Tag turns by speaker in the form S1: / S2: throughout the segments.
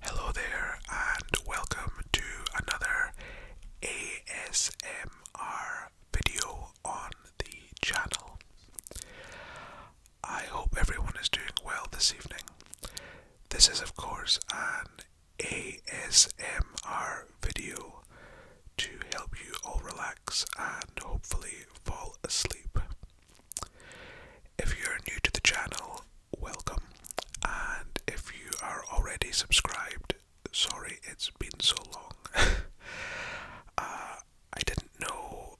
S1: Hello there, and welcome to another ASMR video on the channel. I hope everyone is doing well this evening. This is, of course, an ASMR video to help you all relax and hopefully fall asleep. If you're new to the channel, welcome. And if you are already subscribed, sorry it's been so long. Uh, I didn't know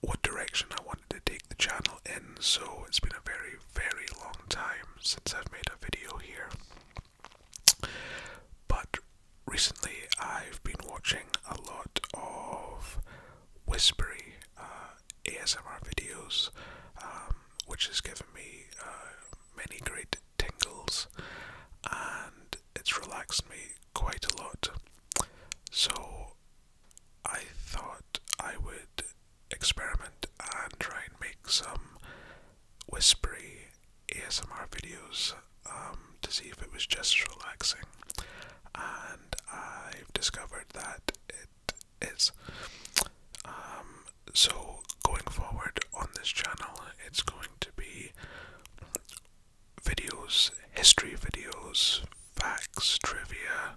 S1: what direction I wanted to take the channel in, so it's been a very, very long time since I've made a video here. But recently I've been watching a lot of whispery uh, ASMR videos, um, which has given me uh, many great tingles and it's relaxed me quite a lot. So I thought I would experiment and try and make some whispery ASMR videos um, to see if it was just relaxing. I've discovered that it is. Um, so, going forward on this channel, it's going to be videos, history videos, facts, trivia,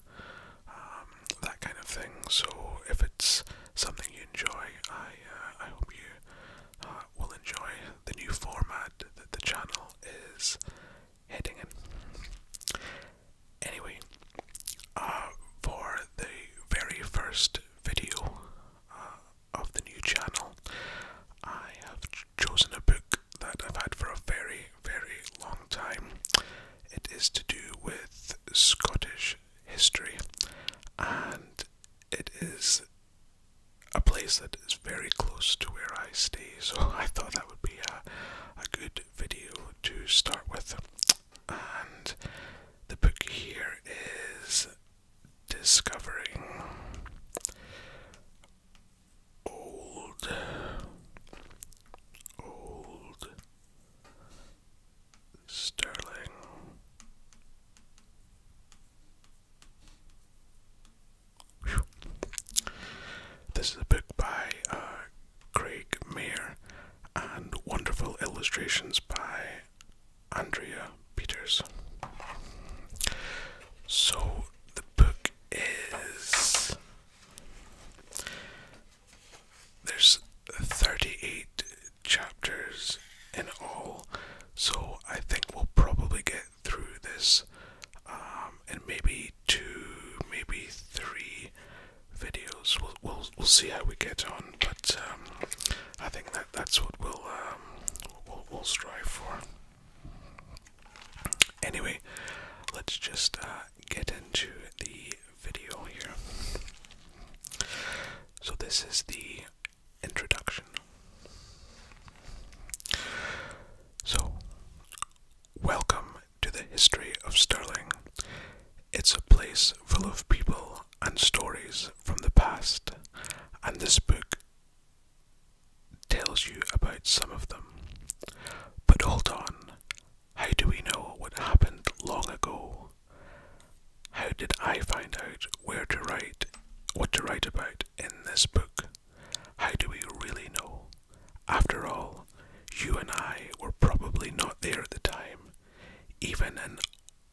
S1: um, that kind of thing. So, if it's something you enjoy, I, uh, I hope you uh, will enjoy the new format that the channel is hitting it. Anyway, uh, for the very first video uh, of the new channel, I have chosen a book that I've had for a very, very long time. It is to do with Scottish history, and it is a place that is very close to where I stay, so I thought that would be a, a good video to start with. And the book here is Discovering Old, Old Sterling. This is a book by uh, Craig Mayer and wonderful illustrations by Andrea Peters. So the book is. There's 38 chapters in all, so I think we'll probably get through this um, and maybe two, maybe three videos. We'll we'll, we'll see how we get on, but um, I think that that's what we'll um, we'll, we'll strive for. Anyway, let's just uh, get into the video here. So this is the introduction. So Welcome to the history of Sterling. It's a place full of people and stories from the past, and this book tells you about some of them. But hold on, how do we know what happened long ago? How did I find out where to write, what to write about in this book? How do we really know? After all, you and I were probably not there at the time. Even an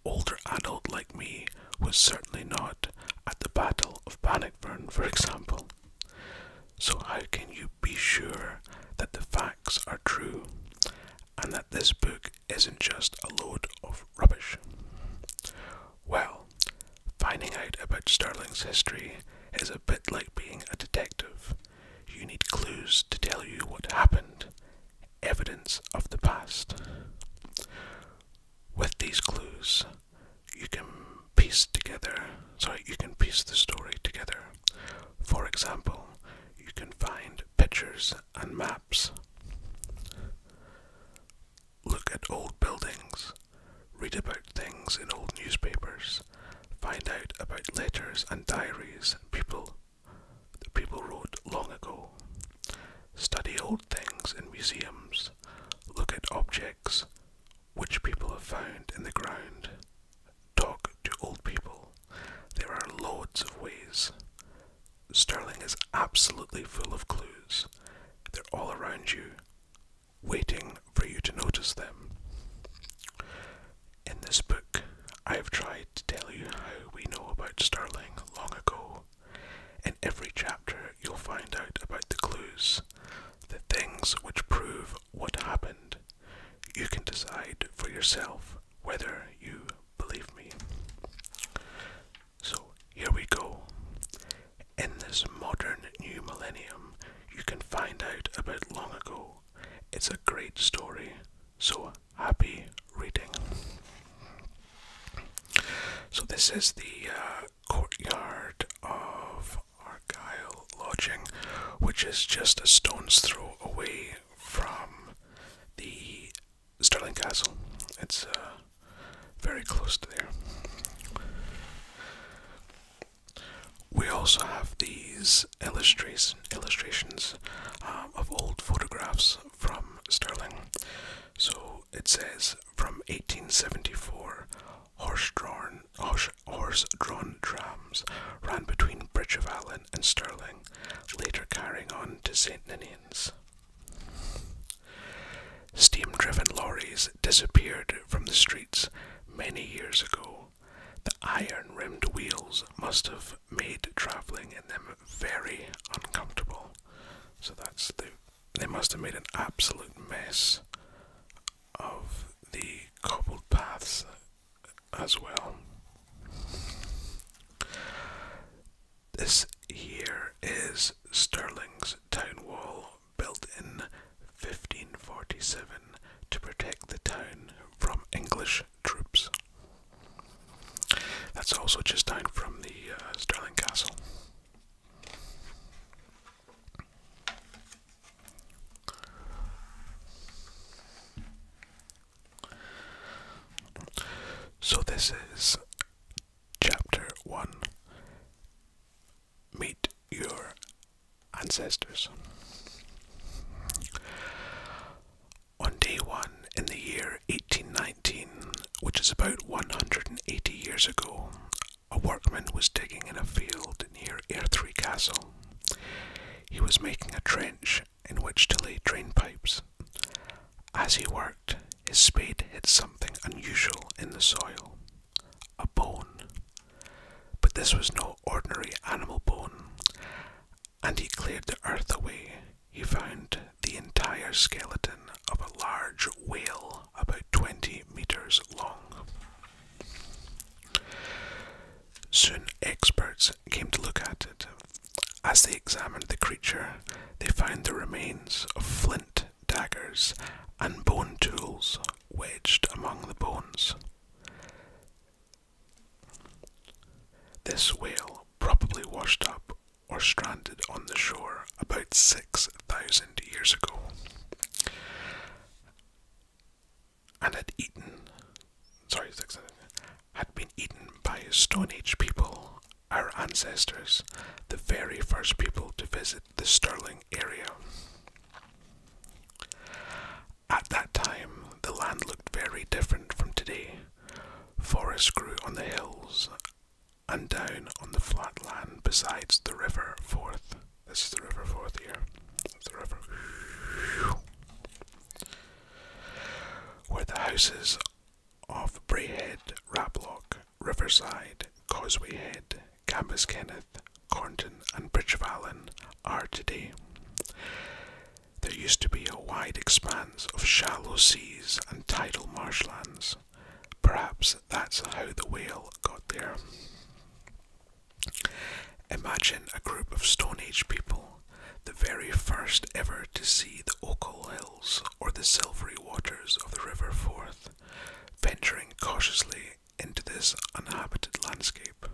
S1: older adult like me was certainly not at the Battle of Bannockburn, for example. So, how can you be sure that the facts are true and that this book isn't just a load of rubbish? Well, Finding out about Starling's history is a bit like being a detective. You need clues to tell you what happened, evidence of the past. With these clues, you can piece together, sorry, you can piece the story together. For example, you can find pictures and maps. Look at old buildings read about things in old newspapers, find out about letters and diaries people that people wrote long ago, study old things in museums, look at objects which people have found in the ground, talk to old people. There are loads of ways. Sterling is absolutely full of clues. They're all around you waiting for you to notice them. In this book, I have tried to tell you how we know about Starling long ago. In every chapter, you'll find out about the clues, the things which prove what happened. You can decide for yourself whether you believe me. So, here we go. In this modern new millennium, you can find out about long ago. It's a great story, so happy reading. So, this is the uh, courtyard of Argyle Lodging, which is just a stone's throw away from the Sterling Castle. It's uh, very close to there. We also have these illustration, illustrations um, of old photographs from Stirling. So it says from 1874, horse-drawn horse, horse-drawn trams ran between Bridge of Allen and Stirling, later carrying on to St Ninians. Steam driven lorries disappeared from the streets many years ago. The iron rimmed wheels must have made travelling in them very uncomfortable. So that's the. They must have made an absolute mess of the cobbled paths as well. This here is Stirling's town wall built in 1547 to protect the town from English troops. That's also just down from the uh, Castle. So, this is chapter one meet your ancestors. On day one in the year 1819, which is about 180 years ago, a workman was digging in a field near Airthrey Castle. He was making a trench in which to lay drain pipes. As he worked, his spade hit something unusual in the soil a bone. But this was no ordinary animal bone, and he cleared the earth away. He found the entire skeleton of a large whale about 20 metres long. Soon experts came to look at it. As they examined the creature, they found the remains of flint daggers and bone tools wedged among the bones. This whale probably washed up or stranded on the shore about 6,000 years ago and had eaten, sorry, had been eaten by Stone Age people, our ancestors, the very first people to visit the Stirling area. At that time, the land looked very different from today. Forests grew on the hills and down on the flat land besides the river Forth. This is the river Forth here. Where the houses of Brayhead, Raplock, Riverside, Causeway Head, Campus Kenneth, Cornton, and Bridgevallen are today. There used to be a wide expanse of shallow seas and tidal marshlands. Perhaps that's how the whale got there. Imagine a group of Stone Age people, the very first ever to see the Ochil Hills or the silvery waters of the River Forth, venturing cautiously into this uninhabited landscape.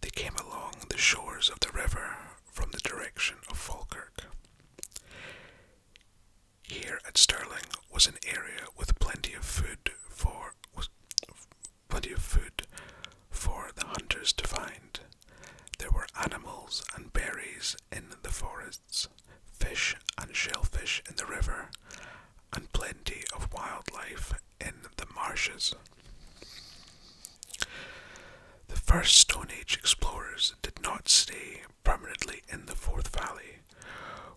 S1: They came along the shores of the river from the direction of Falkirk. Here at Stirling was an area with plenty of food for plenty of food for the hunters to find. There were animals and berries in the forests, fish and shellfish in the river, and plenty of wildlife in the marshes. The first Stone Age explorers did not stay permanently in the Fourth Valley.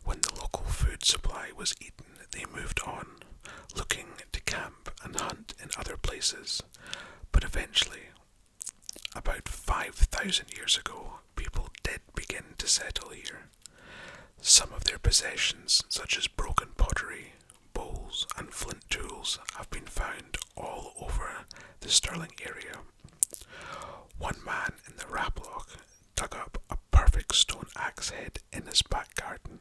S1: When the local food supply was eaten, they moved on, looking to camp and hunt in other places. But eventually, about 5,000 years ago, people did begin to settle here. Some of their possessions, such as broken pottery, bowls, and flint tools, have been found all over the Stirling area. One man in the Raploch dug up a perfect stone axe head in his back garden.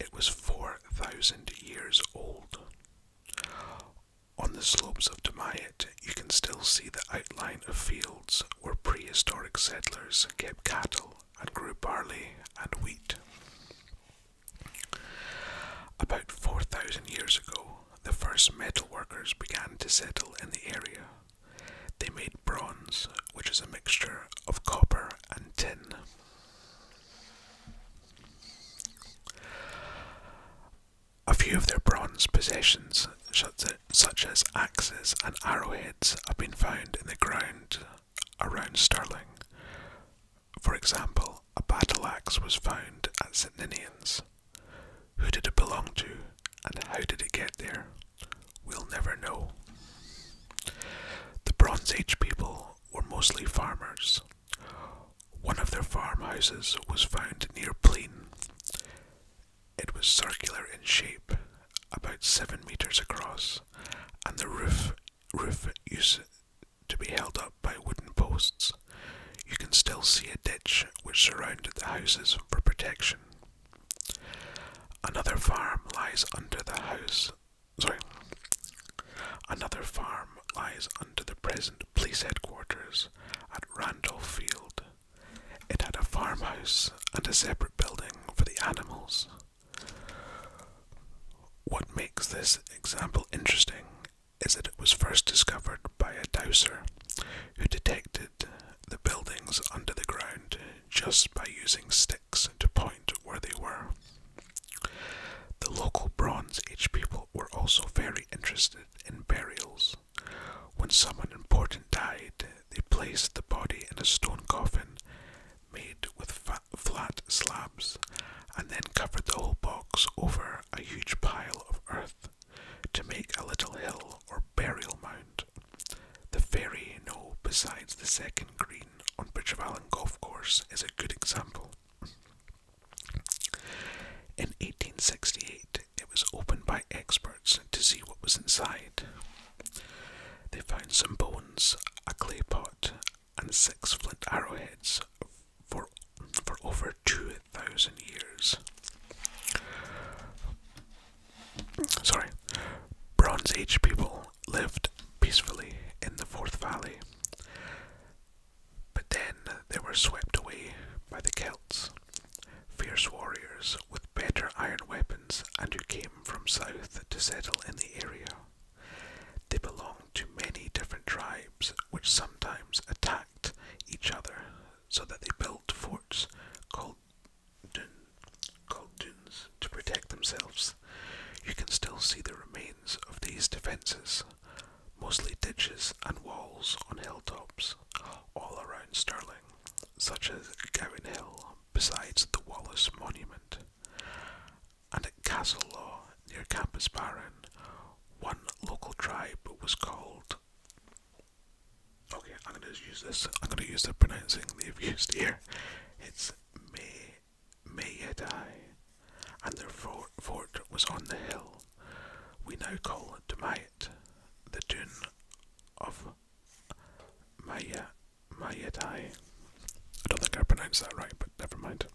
S1: It was 4,000 years old. On the slopes of Demaya, you can still see the outline of fields where prehistoric settlers kept cattle and grew barley and wheat. About 4,000 years ago, the first metal workers began to settle in the area. They made bronze, which is a mixture of copper and tin. A few of their bronze possessions, such as axes and arrowheads, have been found in the ground around Stirling. For example, a battle axe was found at St Ninians. Who did it belong to and how did it get there? We'll never know. The Bronze Age people were mostly farmers. One of their farmhouses was found near Plain. It was circular in shape, about seven meters across, and the roof roof used to be held up by wooden posts. You can still see a ditch which surrounded the houses for protection. Another farm lies under the house. Sorry. Another farm lies under the present police headquarters at Randall Field. It had a farmhouse and a separate building for the animals. What makes this example interesting is that it was first discovered by a dowser who detected the buildings under the ground just by using sticks to point where they were. The local Bronze Age people were also very interested in burials. When someone important died, they placed the body in a stone coffin made with flat slabs and then covered the whole box over a huge pile of earth to make a little hill or burial mound. The ferry knoll besides the second green on Bridgevallen Golf Course is a good example. In 1868, it was opened by experts to see what was inside. They found some bones, a clay pot, and six flint arrowheads for, for over 2,000 years. Sorry, Bronze Age people lived peacefully in the fourth Valley, but then they were swept away by the Celts fierce warriors with better iron weapons and who came from south to settle in the area. They belonged to many different tribes which sometimes attacked each other so that they built forts called, dun, to protect themselves. You can still see the remains of these defences, mostly ditches and walls on hilltops, all around Sterling such as Gowan Hill, besides the Wallace Monument, and at Castle Law near Campus Barron, one local tribe was called. Okay, I'm going to use this. I'm going to use the pronouncing they've used here. It's May Mayedai, and their fort, was on the hill we now call Demai the dun of Maya Mayatai. I don't think I pronounced that right, but never mind.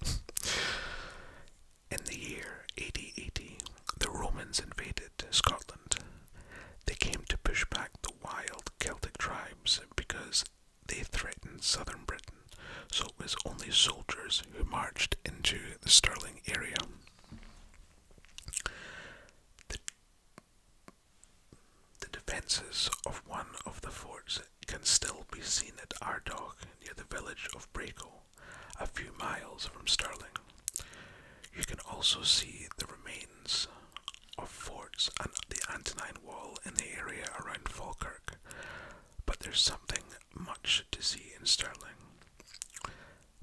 S1: In the year 8080, the Romans invaded Scotland. They came to push back the wild Celtic tribes because they threatened southern Britain, so it was only soldiers who marched into the Stirling area. The, defences of one of the forts can still be seen at Ardagh, near the village of Braco, a few miles from Stirling. You can also see the remains of forts and the Antonine Wall in the area around Falkirk, but there's something much to see in Stirling.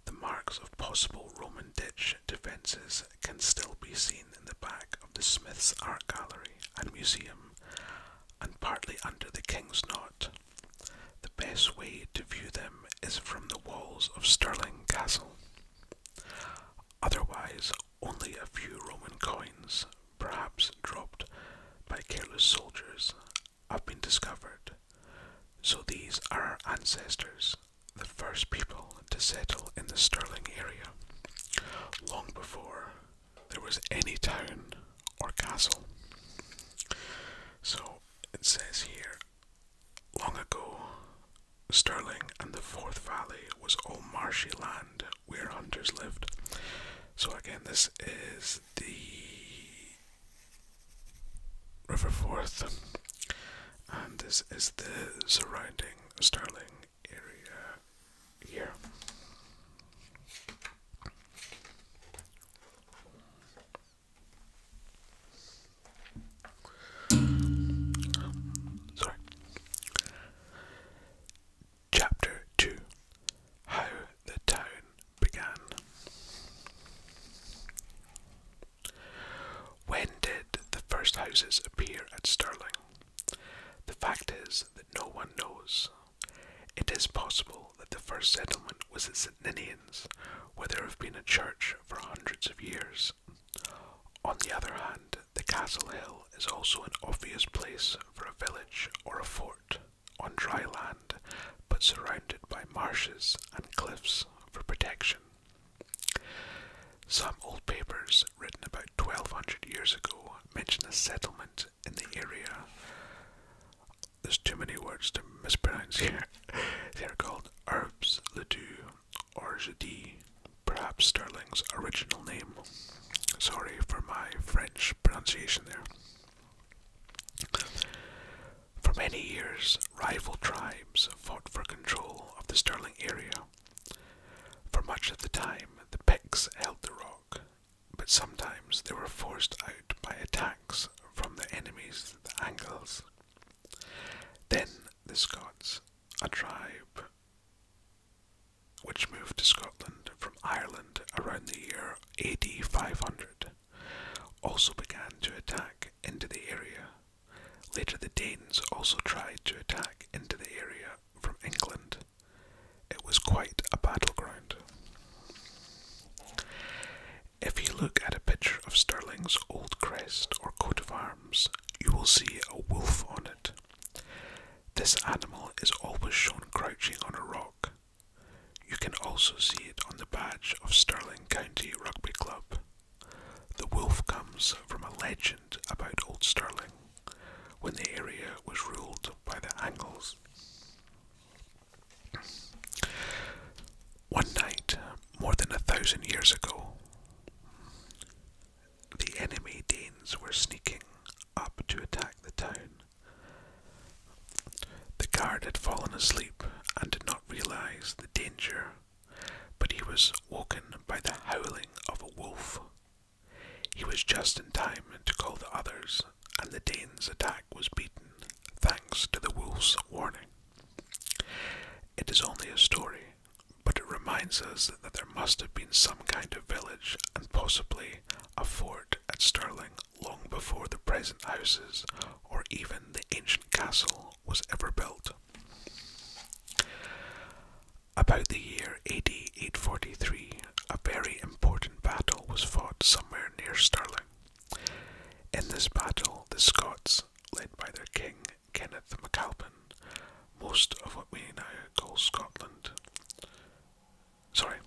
S1: The marks of possible Roman ditch defences can still be seen in the back of the Smith's Art Gallery and Museum, and partly under the King's Knot. The best way to view them is from the walls of Stirling Castle. Otherwise, only a few Roman coins, perhaps dropped by careless soldiers, have been discovered. So these are our ancestors, the first people to settle in the Stirling area, long before there was any town or castle. So it says here, long ago, Stirling and the Forth Valley was all marshy land where hunters lived. So again, this is the Riverforth, and this is the surrounding Stirling area here. Sorry. Chapter 2 How the Town Began. When did the first houses appear at Stirling? The fact is that no one knows. It is possible that the first settlement was at St Ninians, where there have been a church for hundreds of years. On the other hand, the Castle Hill is also an obvious place for a village or a fort on dry land, but surrounded by marshes and cliffs for protection. Some old papers written about 1200 years ago mention a settlement in the area. There's too many words to mispronounce here. they are called Herbes Ledoux or Jadis, perhaps Starling's original name. Sorry for my French pronunciation there. For many years, rival tribes fought for control of the Stirling area. For much of the time, the Picts held the rock, but sometimes they were forced out by attacks from their enemies, the Angles. Then the Scots, a tribe which moved to Scotland from Ireland around the year AD 500, also began to attack into the area Later, the Danes also tried to attack into the area from England. It was quite a battleground. If you look at a picture of Stirling's old crest or coat of arms, you will see a wolf on it. This animal is always shown crouching on a rock. You can also see it on the badge of Stirling County Rugby Club. The wolf comes from a legend about Old Stirling, when the area was ruled by the Angles. One night, more than a thousand years ago, the enemy Danes were sneaking up to attack the town. The guard had fallen asleep and did not realize the danger but he was woken by the howling of a wolf. He was just in time to call the others, and the Dane's attack was beaten, thanks to the wolf's warning. It is only a story, but it reminds us that there must have been some kind of village and possibly a fort at Stirling long before the present houses or even the ancient castle was ever built. About the year AD 843, a very important battle was fought somewhere near Stirling. In this battle, the Scots, led by their king Kenneth MacAlpin, most of what we now call Scotland, sorry,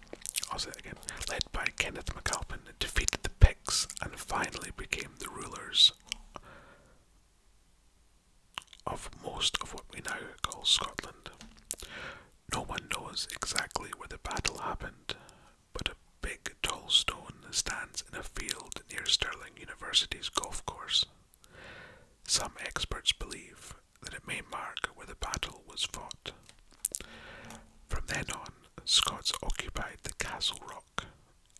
S1: I'll say that again, led by Kenneth MacAlpin, defeated the Picts and finally became the rulers of most of what we now call Scotland. No one knows exactly where the battle happened, but a big tall stone stands in a field near Stirling University's golf course. Some experts believe that it may mark where the battle was fought. From then on, Scots occupied the Castle Rock,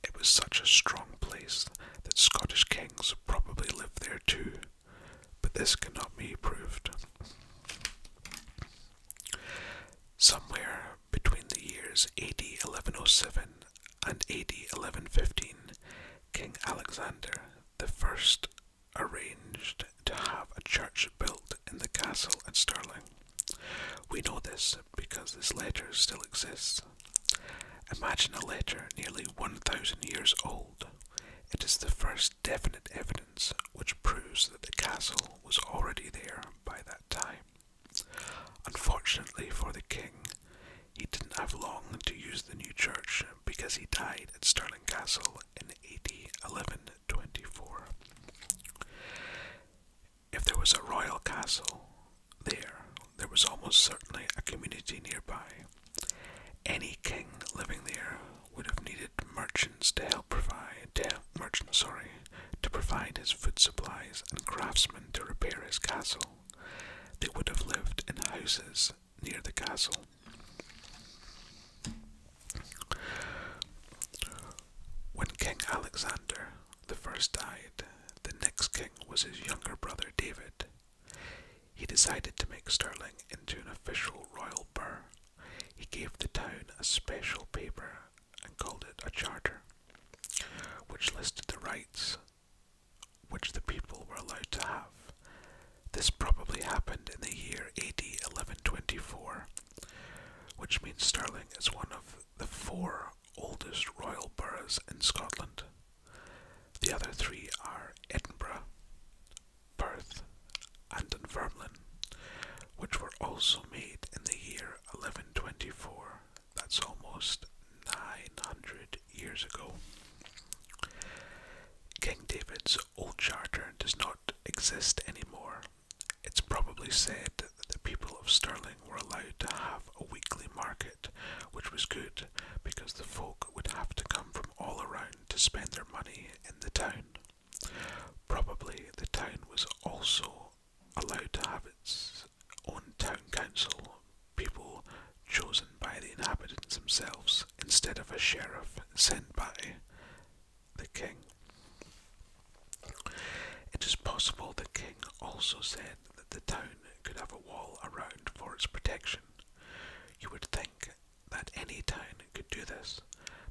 S1: it was such a strong place that Scottish kings probably lived there too, but this cannot be proved. Somewhere between the years AD 1107 and AD 1115, King Alexander the First arranged to have a church built in the castle at Stirling. We know this because this letter still exists. Imagine a letter nearly 1,000 years old. It is the first definite evidence which proves that the castle was already there by that time. Unfortunately for the king, he didn't have long to use the new church because he died at Stirling Castle in AD if there was a royal castle there, there was almost certainly a community nearby. Any king living there would have needed merchants to help provide to help, merchant, to provide his food supplies and craftsmen to repair his castle. They would have lived in houses near the castle. When King Alexander the first died. The next king was his younger brother David. He decided to make Stirling into an official royal burr. He gave the town a special paper and called it a charter, which listed the rights which the people were allowed to have. This probably happened in the year AD 1124, which means Stirling is one of the four oldest royal boroughs in Scotland. The other three are Edinburgh, Perth, and Dunfermline, which were also made in the year 1124. That's almost 900 years ago. King David's Old Charter does not exist anymore, it's probably said that the people of Stirling were allowed to have a weekly market, which was good because the folk would have to come from all around to spend their money in the town. Probably the town was also allowed to have its own town council, people chosen by the inhabitants themselves instead of a sheriff sent by the king. It is possible the king also said that the town could have a wall around for its protection. You would think that any town could do this,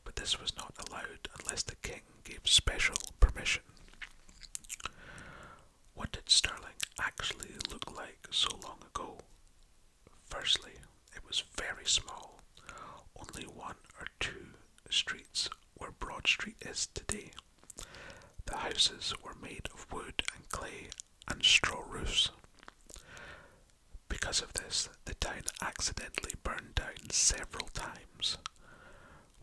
S1: but this was not allowed unless the king gave special permission. What did Sterling actually look like so long ago? Firstly, it was very small. Only one or two streets where Broad Street is today. The houses were made of wood and clay and straw roofs. Because of this, the town accidentally burned down several times.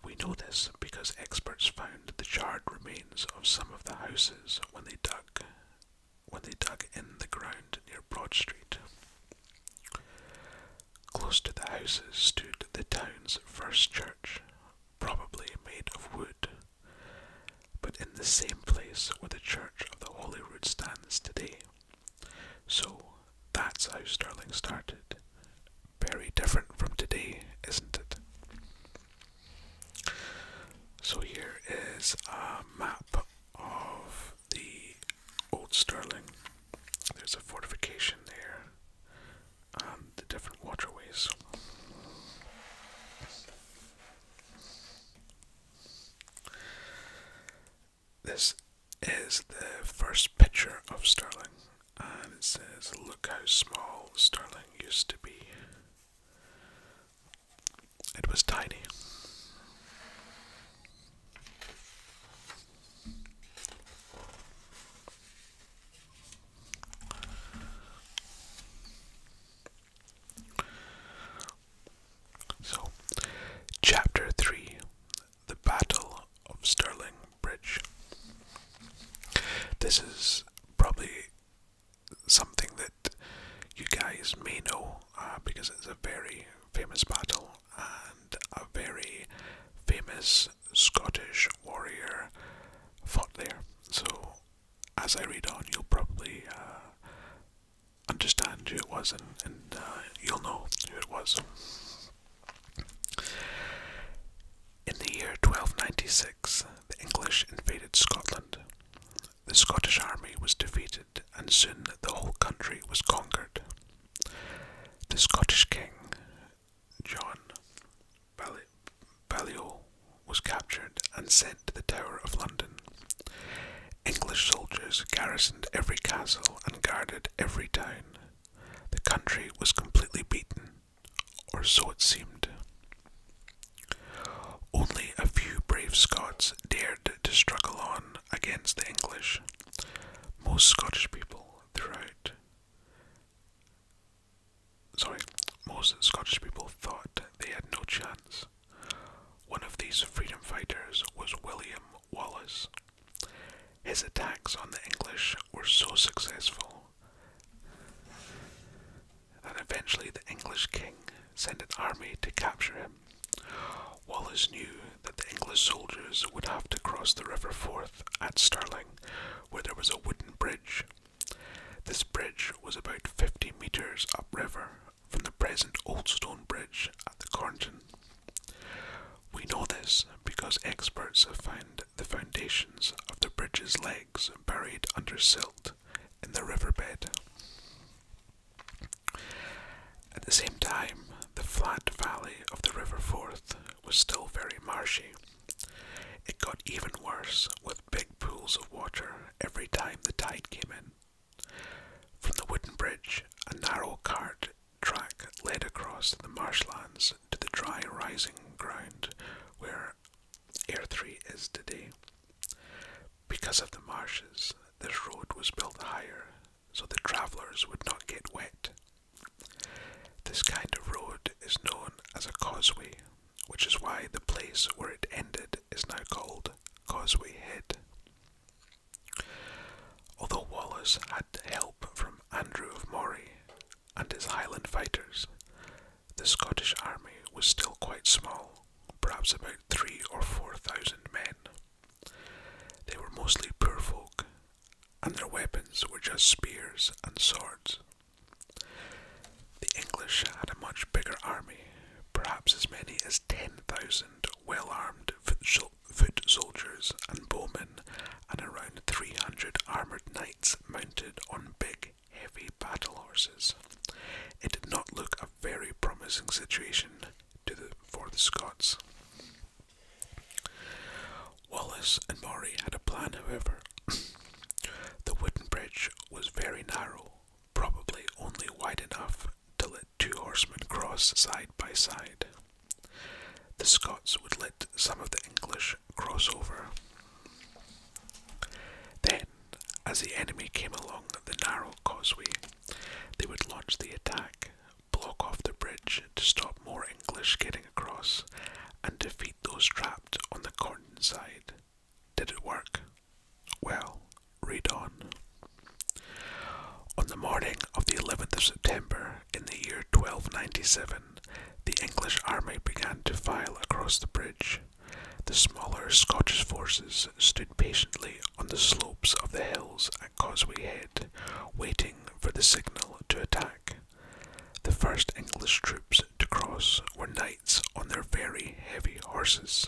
S1: We know this because experts found the charred remains of some of the houses when they dug when they dug in the ground near Broad Street. Close to the houses stood the town's first church, probably made of wood. But in the same place where the Church of the Holy Holyrood stands today. So that's how Stirling started. Very different from today, isn't it? So here is a map of the old Stirling. There's a fortification there. Um, the different waterways. This is the first picture of Sterling, and it says, Look how small Sterling used to be. It was tiny. So, Chapter 3 The Battle of Stirling Bridge. This is probably something that you guys may know uh, because it's a very famous battle and a very famous Scottish warrior fought there. So, as I read on, you'll probably uh, understand who it was and, and uh, you'll know who it was. In the year 1296, the English invaded Scotland. The Scottish army was defeated, and soon the whole country was conquered. The Scottish king, John Bali Balliol was captured and sent to the Tower of London. English soldiers garrisoned every castle and guarded every town. The country was completely beaten, or so it seemed. Only a few brave Scots dared to struggle on against the English. Most Scottish people throughout Sorry, most Scottish people thought they had no chance. One of these freedom fighters was William Wallace. His attacks on the English were so successful that eventually the English king sent an army to capture him. Wallace knew that the English soldiers would have to cross the River Forth at Stirling where there was a wooden bridge. This bridge was about 50 metres upriver from the present Old Stone Bridge at the Cornton. We know this because experts have found the foundations of the bridge's legs buried under silt in the riverbed. At the same time, the flat valley of the River Forth was still very marshy. It got even worse with big pools of water every time the tide came in. From the wooden bridge, a narrow cart track led across the marshlands to the dry rising ground where Air 3 is today. Because of the marshes, this road was built higher so the travellers would not get wet. This kind of road is known as a causeway, which is why the place where it ended is now called Causeway Head. Although Wallace had help from Andrew of Moray and his Highland fighters, the Scottish army was still quite small, perhaps about three or four thousand men. They were mostly poor folk and their weapons were just spears and swords. The English had a much bigger army, perhaps as many as 10,000 well armed foot, soldiers and bowmen, and around 300 armoured knights mounted on big, heavy battle horses. It did not look a very promising situation for the Scots. Wallace and Maury had a plan, however. the wooden bridge was very narrow, probably only wide enough to let two horsemen cross side by side. The Scots would let some of the English cross over. Then, as the enemy came along the narrow causeway, they would launch the attack, block off the bridge to stop more English getting across and defeat those trapped on the Corn side. Did it work? Well, read on. On the morning of the 11th of September in the year 1297, the English army began to file across the bridge. The smaller Scottish forces stood patiently on the slopes of the hills at Causeway Head, waiting for the signal to attack. The first English troops to cross were knights on their very heavy horses.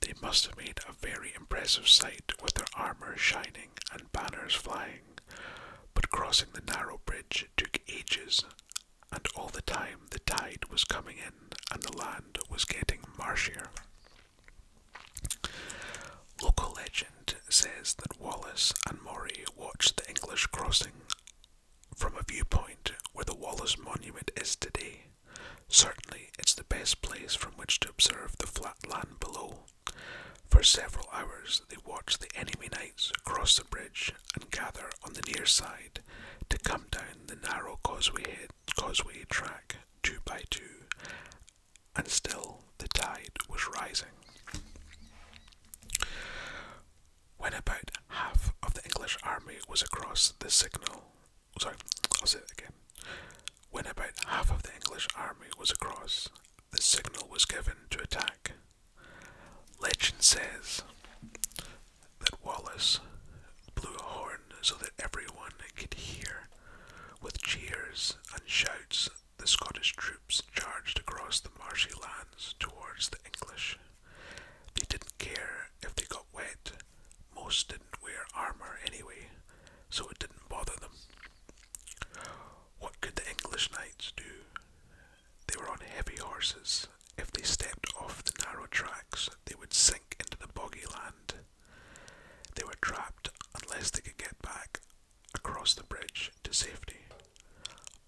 S1: They must have made a very impressive sight with their armour shining and banners flying, but crossing the narrow bridge took ages, and all the time the tide was coming in and the land was getting marshier. Local legend says that Wallace and Maury watched the English crossing from a viewpoint where the Wallace Monument is today. Certainly, it's the best place from which to observe the flat land below. For several hours, they watched the enemy knights cross the bridge and gather on the near side to come down the narrow causeway, causeway track two by two, and still the tide was rising. When about half of the English army was across the signal, sorry, I'll say it again. When about half of the English army was across, the signal was given to attack. Legend says that Wallace blew a horn so that everyone could hear, with cheers and shouts the Scottish troops charged across the marshy lands towards the English. They didn't care if they got wet, most didn't wear armour anyway, so it didn't bother them. What could the English knights do? They were on heavy horses. If they stepped off the narrow tracks, they would sink into the boggy land. They were trapped unless they could get back across the bridge to safety.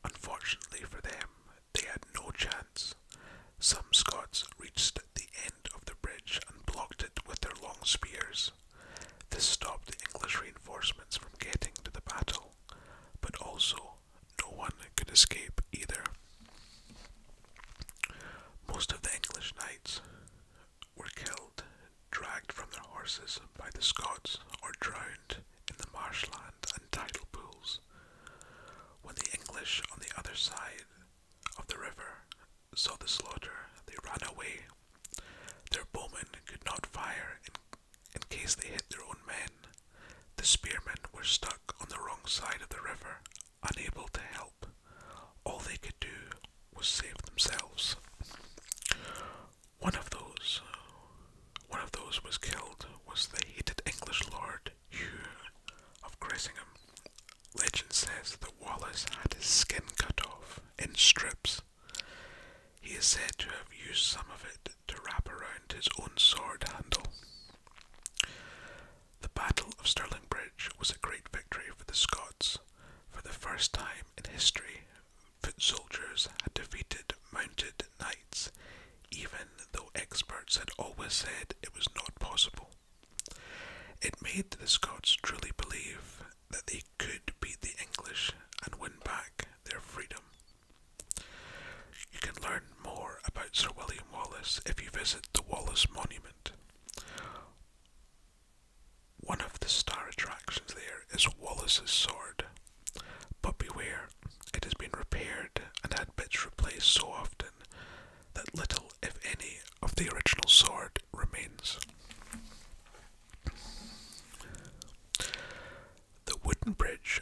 S1: Unfortunately for them, they had no chance. Some Scots reached the end of the bridge and blocked it with their long spears. This stopped the English reinforcements from getting to the battle, but also no one could escape either. Most of the English knights were killed dragged from their horses by the Scots or drowned in the marshland and tidal pools. When the English on the other side of the river saw the slaughter, they ran away. Their bowmen could not fire in, in case they hit their own men. The spearmen were stuck on the wrong side of the river, unable to help. All they could do was save themselves. One of those, uh, one of those was killed was the hated English lord Hugh of Cressingham. Legend says that Wallace had his skin cut off in strips. He is said to have used some of it to wrap around his own sword handle. The Battle of Stirling Bridge was a great victory for the Scots. For the first time in history, foot soldiers had defeated mounted knights, even though experts had always said it was not possible. It made the Scots truly believe that they could beat the English and win back their freedom. You can learn more about Sir William Wallace if you visit the Wallace Monument. One of the star attractions there is Wallace's sword, but beware, it has been repaired and had bits replaced so often that little, if any, of the original sword remains. The wooden bridge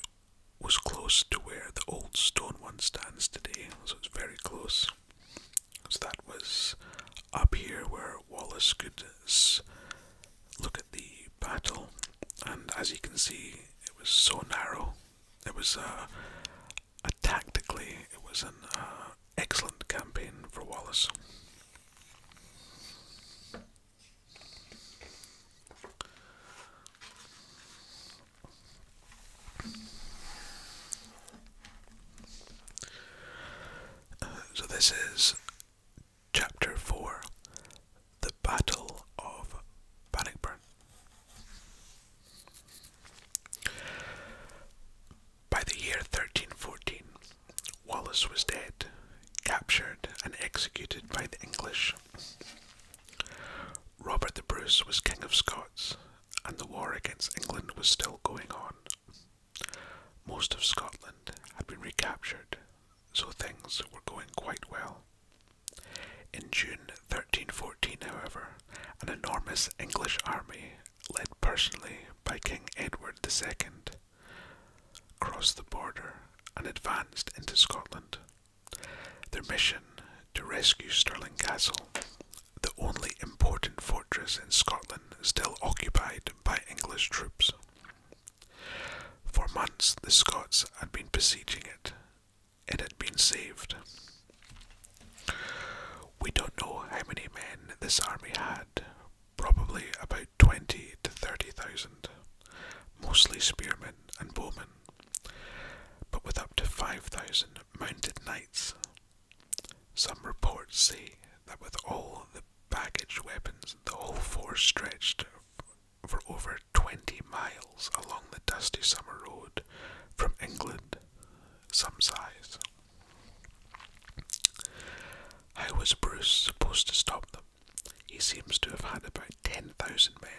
S1: was close to where the old stone one stands today, so it's very close. So that was up here where Wallace could look at the battle, and as you can see, it was so narrow. It was uh, a tactically, it was an uh, excellent campaign for Wallace. Uh, so this is Chapter 4 The Battle of Bannockburn. By the year 1314, Wallace was dead, captured, and executed by the English. Robert the Bruce was King of Scots, and the war against England was still going on. Most of Scotland had been recaptured, so things were going quite well. In June 1314, however, an enormous English army, led personally by King Edward II, crossed the border and advanced into Scotland. Their mission to rescue Stirling Castle, the only important fortress in Scotland still occupied by English troops. For months the Scots had been besieging it. It had been saved. We don't know how many men this army had, probably about 20 to 30,000, mostly spearmen and bowmen, but with up to 5,000 mounted knights. Some reports say that with all the baggage weapons, the whole force stretched for over 20 miles along the dusty summer road from England, some size. How was Bruce supposed to stop them? He seems to have had about 10,000 men,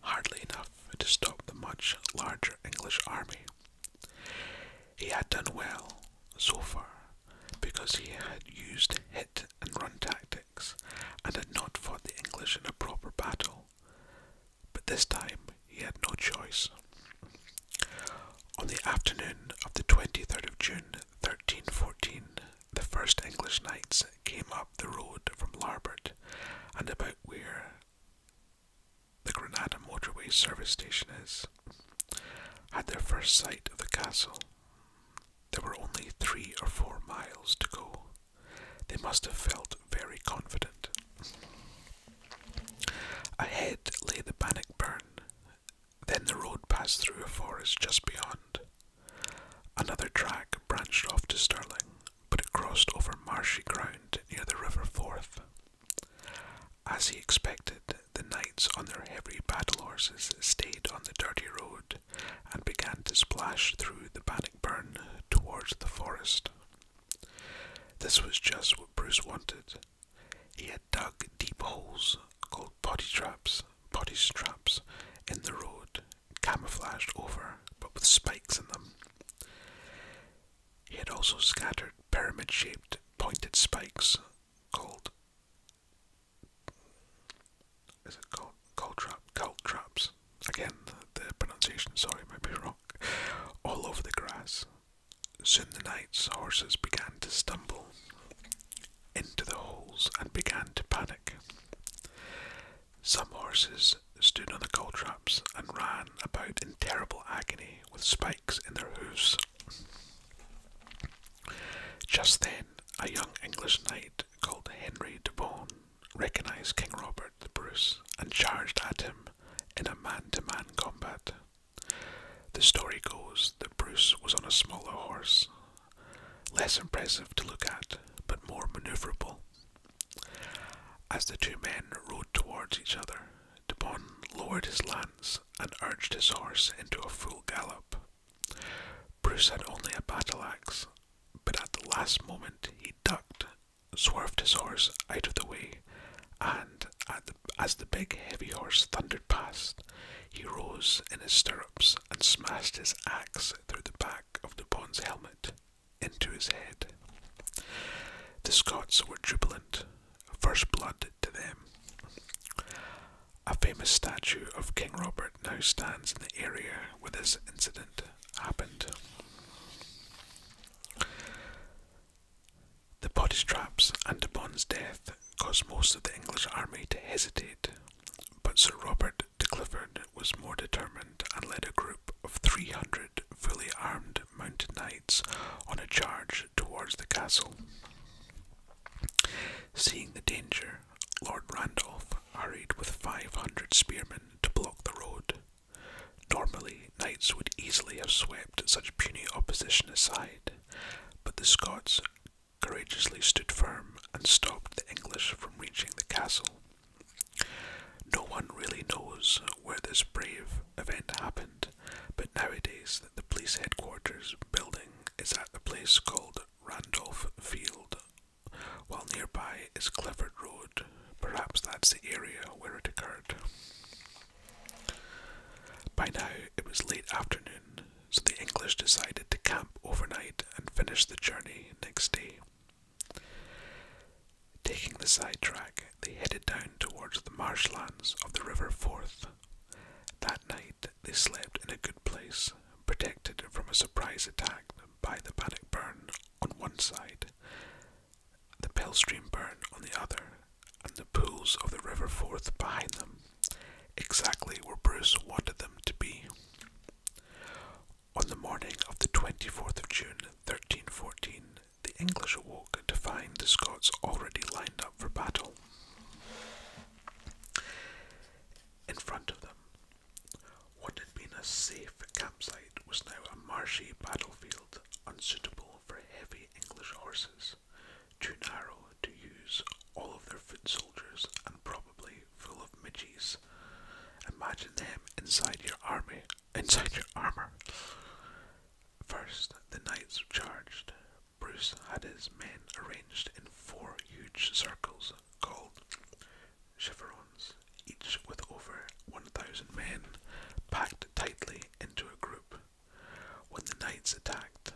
S1: hardly enough to stop the much larger English army. He had done well so far, because he had used hit and run tactics and had not fought the English in a proper battle. But this time he had no choice. On the afternoon of the 23rd of June 1314, the first English knights came up the road from Larbert and about where the Granada motorway service station is, had their first sight of the castle. There were only three or four miles to go. They must have felt very confident. Ahead lay the Bannockburn. Then the road passed through a forest just beyond. Another track branched off to Stirling, but it crossed over marshy ground near the River Forth. As he expected, the knights on their heavy battle horses stayed on the dirty road and began to splash through the burn towards the forest. This was just what Bruce wanted. He had dug deep holes called body traps, body traps, in the road, camouflaged over but with spikes in them. He had also scattered pyramid shaped pointed spikes called is it called cold trap? Cold traps. Again, the, pronunciation, sorry, might be wrong. All over the grass. Soon the knight's horses began to stumble into the holes and began to panic. Some horses stood on the coal traps and ran about in terrible agony with spikes in their hooves. Just then, a young English knight called Henry de Bohun recognized King Robert the Bruce and charged at him in a man to man combat. The story goes that Bruce was on a smaller horse, less impressive to look at, but more maneuverable. As the two men rode towards each other, De Bon lowered his lance and urged his horse into a full gallop. Bruce had only a battle axe, but at the last moment he ducked, swerved his horse out of the way, and as the big heavy horse thundered past, he rose in his stirrups and smashed his axe through the back of the bond's helmet into his head. The Scots were jubilant. First blood to them. A famous statue of King Robert now stands in the area where this incident happened. The body traps and de Bon's death caused most of the English army to hesitate, but Sir Robert de Clifford was more determined and led a group of 300 fully armed mounted knights on a charge towards the castle. Seeing the danger, Lord Randolph hurried with five hundred spearmen to block the road. Normally, knights would easily have swept such puny opposition aside, but the Scots courageously stood firm and stopped the English from reaching the castle. No one really knows where this brave event happened, but nowadays the police headquarters building is at a place called Randolph Field, while nearby is Clifford Road. Perhaps that's the area where it occurred. By now it was late afternoon, so the English decided to camp overnight and finish the journey next day. Taking the sidetrack, they headed down towards the marshlands of the River Forth. That night they slept in a good place, protected from a surprise attack by the Paddock Burn on one side, the Pellstream Burn on the other, and the pools of the River Forth behind them, exactly where Bruce wanted them to be. On the morning of the 24th of June, 1314, the English awoke to find the Scots already lined up for battle. In front of them, what had been a safe campsite was now a marshy battlefield unsuitable for heavy English horses, too narrow to use all of their foot soldiers and probably full of midges. Imagine them inside your army, inside your armour. First, the knights charged, Bruce had his men arranged in four huge circles called chevrons, each with over 1,000 men packed tightly into a group. When the knights attacked,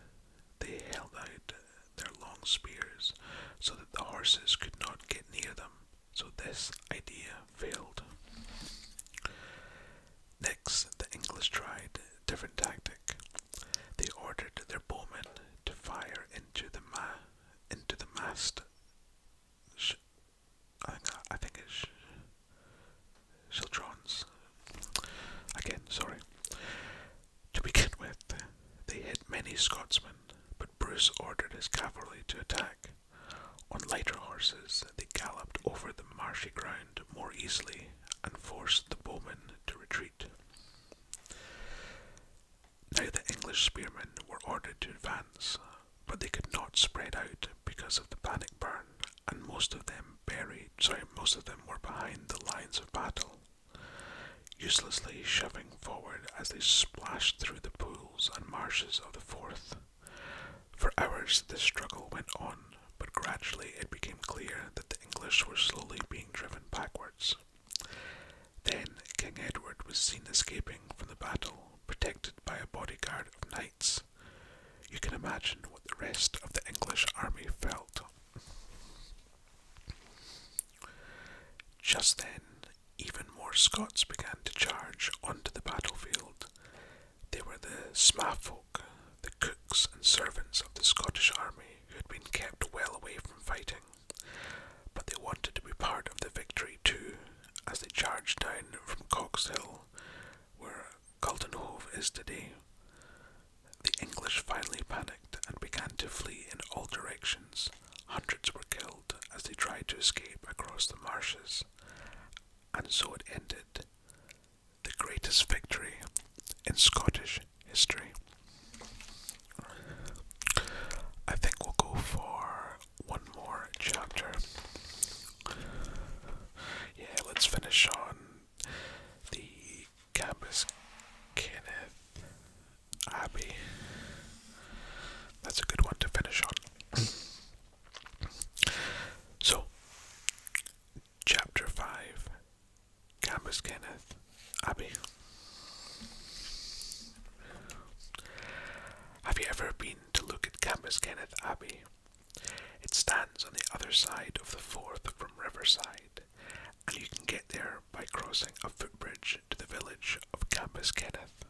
S1: they held out their long spears so that the horses could not get near them, so this idea failed. Next, the English tried different tactic. They ordered their bowmen to fire into the ma into the mast. Sh I think I think it's Childrons. Again, sorry. To begin with, they hit many Scotsmen, but Bruce ordered his cavalry to attack. On lighter horses, they galloped over the marshy ground more easily and forced the bowmen to retreat. Now the English spearmen were ordered to advance, but they could not spread out because of the panic burn, and most of them buried sorry, most of them were behind the lines of battle, uselessly shoving forward as they splashed through the pools and marshes of the Forth. For hours the struggle went on, but gradually it became clear that the English were slowly being driven backwards. Then King Edward was seen escaping from the battle, protected by a bodyguard of knights. You can imagine what the rest of the English army felt. Just then, even more Scots began to charge onto the battlefield. They were the SMAFO, the cooks and servants of the Scottish army who had been kept well away from fighting, but they wanted to be part of the victory too, as they charged down from Cock's Hill, where Culdenhove is today. The English finally panicked and began to flee in all directions. Hundreds were killed as they tried to escape across the marshes, and so it ended the greatest victory in Scottish history. I think we'll go for one more chapter. Yeah, let's finish on the Campus Kenneth Abbey. That's a good one to finish on. so, Chapter 5 Campus Kenneth Abbey. Have you ever been to look at Campus Kenneth Abbey? It stands on the other side of the Forth from Riverside, and you can get there by crossing a footbridge to the village of Campus Kenneth.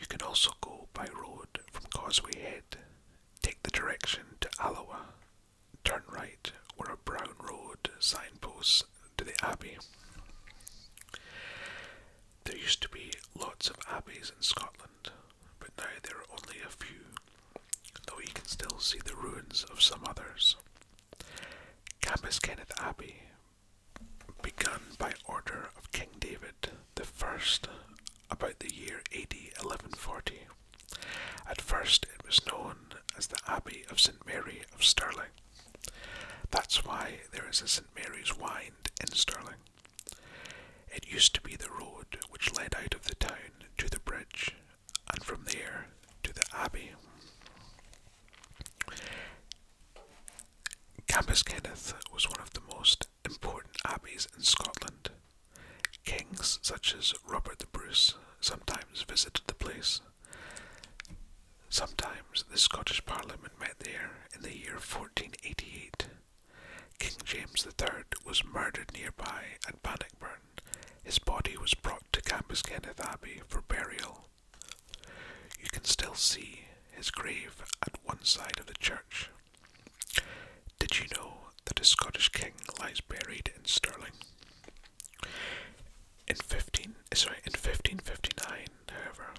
S1: You can also go by road from Causeway Head, take the direction to Alloa, turn right were a brown road signpost to the abbey. There used to be lots of abbeys in Scotland, but now there are only a few, though you can still see the ruins of some others. Campus Kenneth Abbey, begun by order of King David the First about the year AD 1140, at first, it was known as the Abbey of St Mary of Stirling. That's why there is a St Mary's Wind in Stirling. It used to be the road which led out of the town to the bridge, and from there to the Abbey. Campus Kenneth was one of the most important abbeys in Scotland. Kings such as Robert the Bruce sometimes visited the place. Sometimes the Scottish Parliament met there in the year 1488. King James III was murdered nearby at Bannockburn. His body was brought to Cambuskeneth Abbey for burial. You can still see his grave at one side of the church. Did you know that a Scottish king lies buried in Stirling? In fifteen sorry, in fifteen fifty nine, however,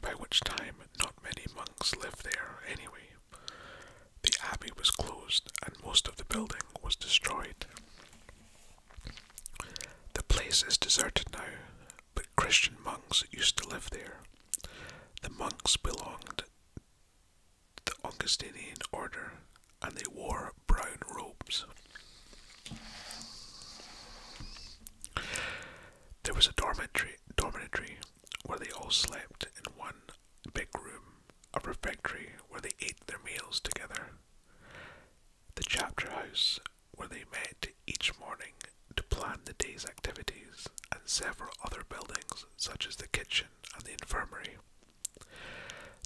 S1: by which time not many monks lived there anyway, the abbey was closed and most of the building was destroyed. The place is deserted now, but Christian monks used to live there. The monks belonged the Augustinian order and they wore brown robes. There was a dormitory, dormitory where they all slept in one big room, a refectory where they ate their meals together, the chapter house where they met each morning to plan the day's activities, and several other buildings such as the kitchen and the infirmary.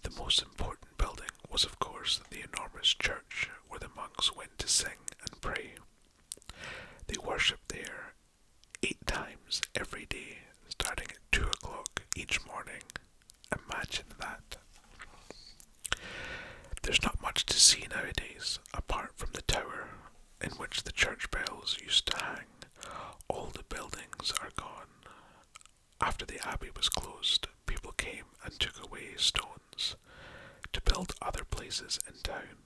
S1: The most important building was, of course, the enormous church where the monks went to sing and pray. They worshipped there eight times every day, starting at two o'clock each morning. Imagine that. There's not much to see nowadays apart from the tower in which the church bells used to hang. All the buildings are gone, after the abbey was closed, people came and took away stones to build other places in town.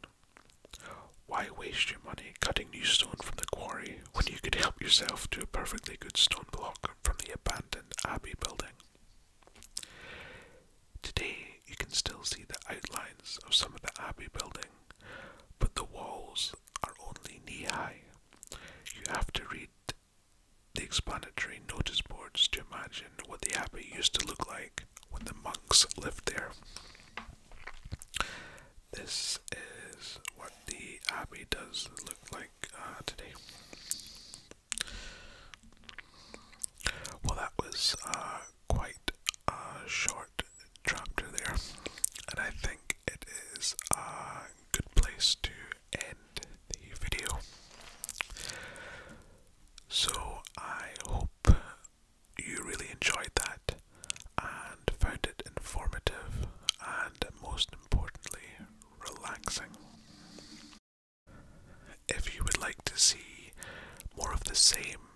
S1: Why waste your money cutting new stone from the quarry when you could help yourself to a perfectly good stone block from the abandoned abbey building? Today you can still see the outlines of some of the abbey building, but the walls are only knee high. You have to read the explanatory notice boards to imagine what the abbey used to look like when the monks lived there. This is what the abbey does look like uh, today. Well, that was uh, quite a short chapter there, and I think it is uh, good place to end the video. So I hope you really enjoyed that and found it informative and most importantly relaxing. If you would like to see more of the same,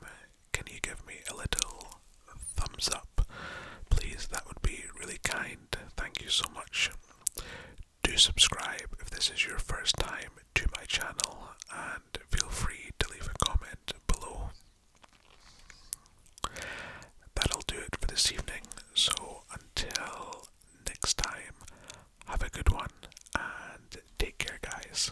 S1: can you give me a little thumbs up? please, that would be really kind. Thank you so much. Do subscribe if this is your first time to my channel, and feel free to leave a comment below. That'll do it for this evening, so until next time, have a good one and take care, guys.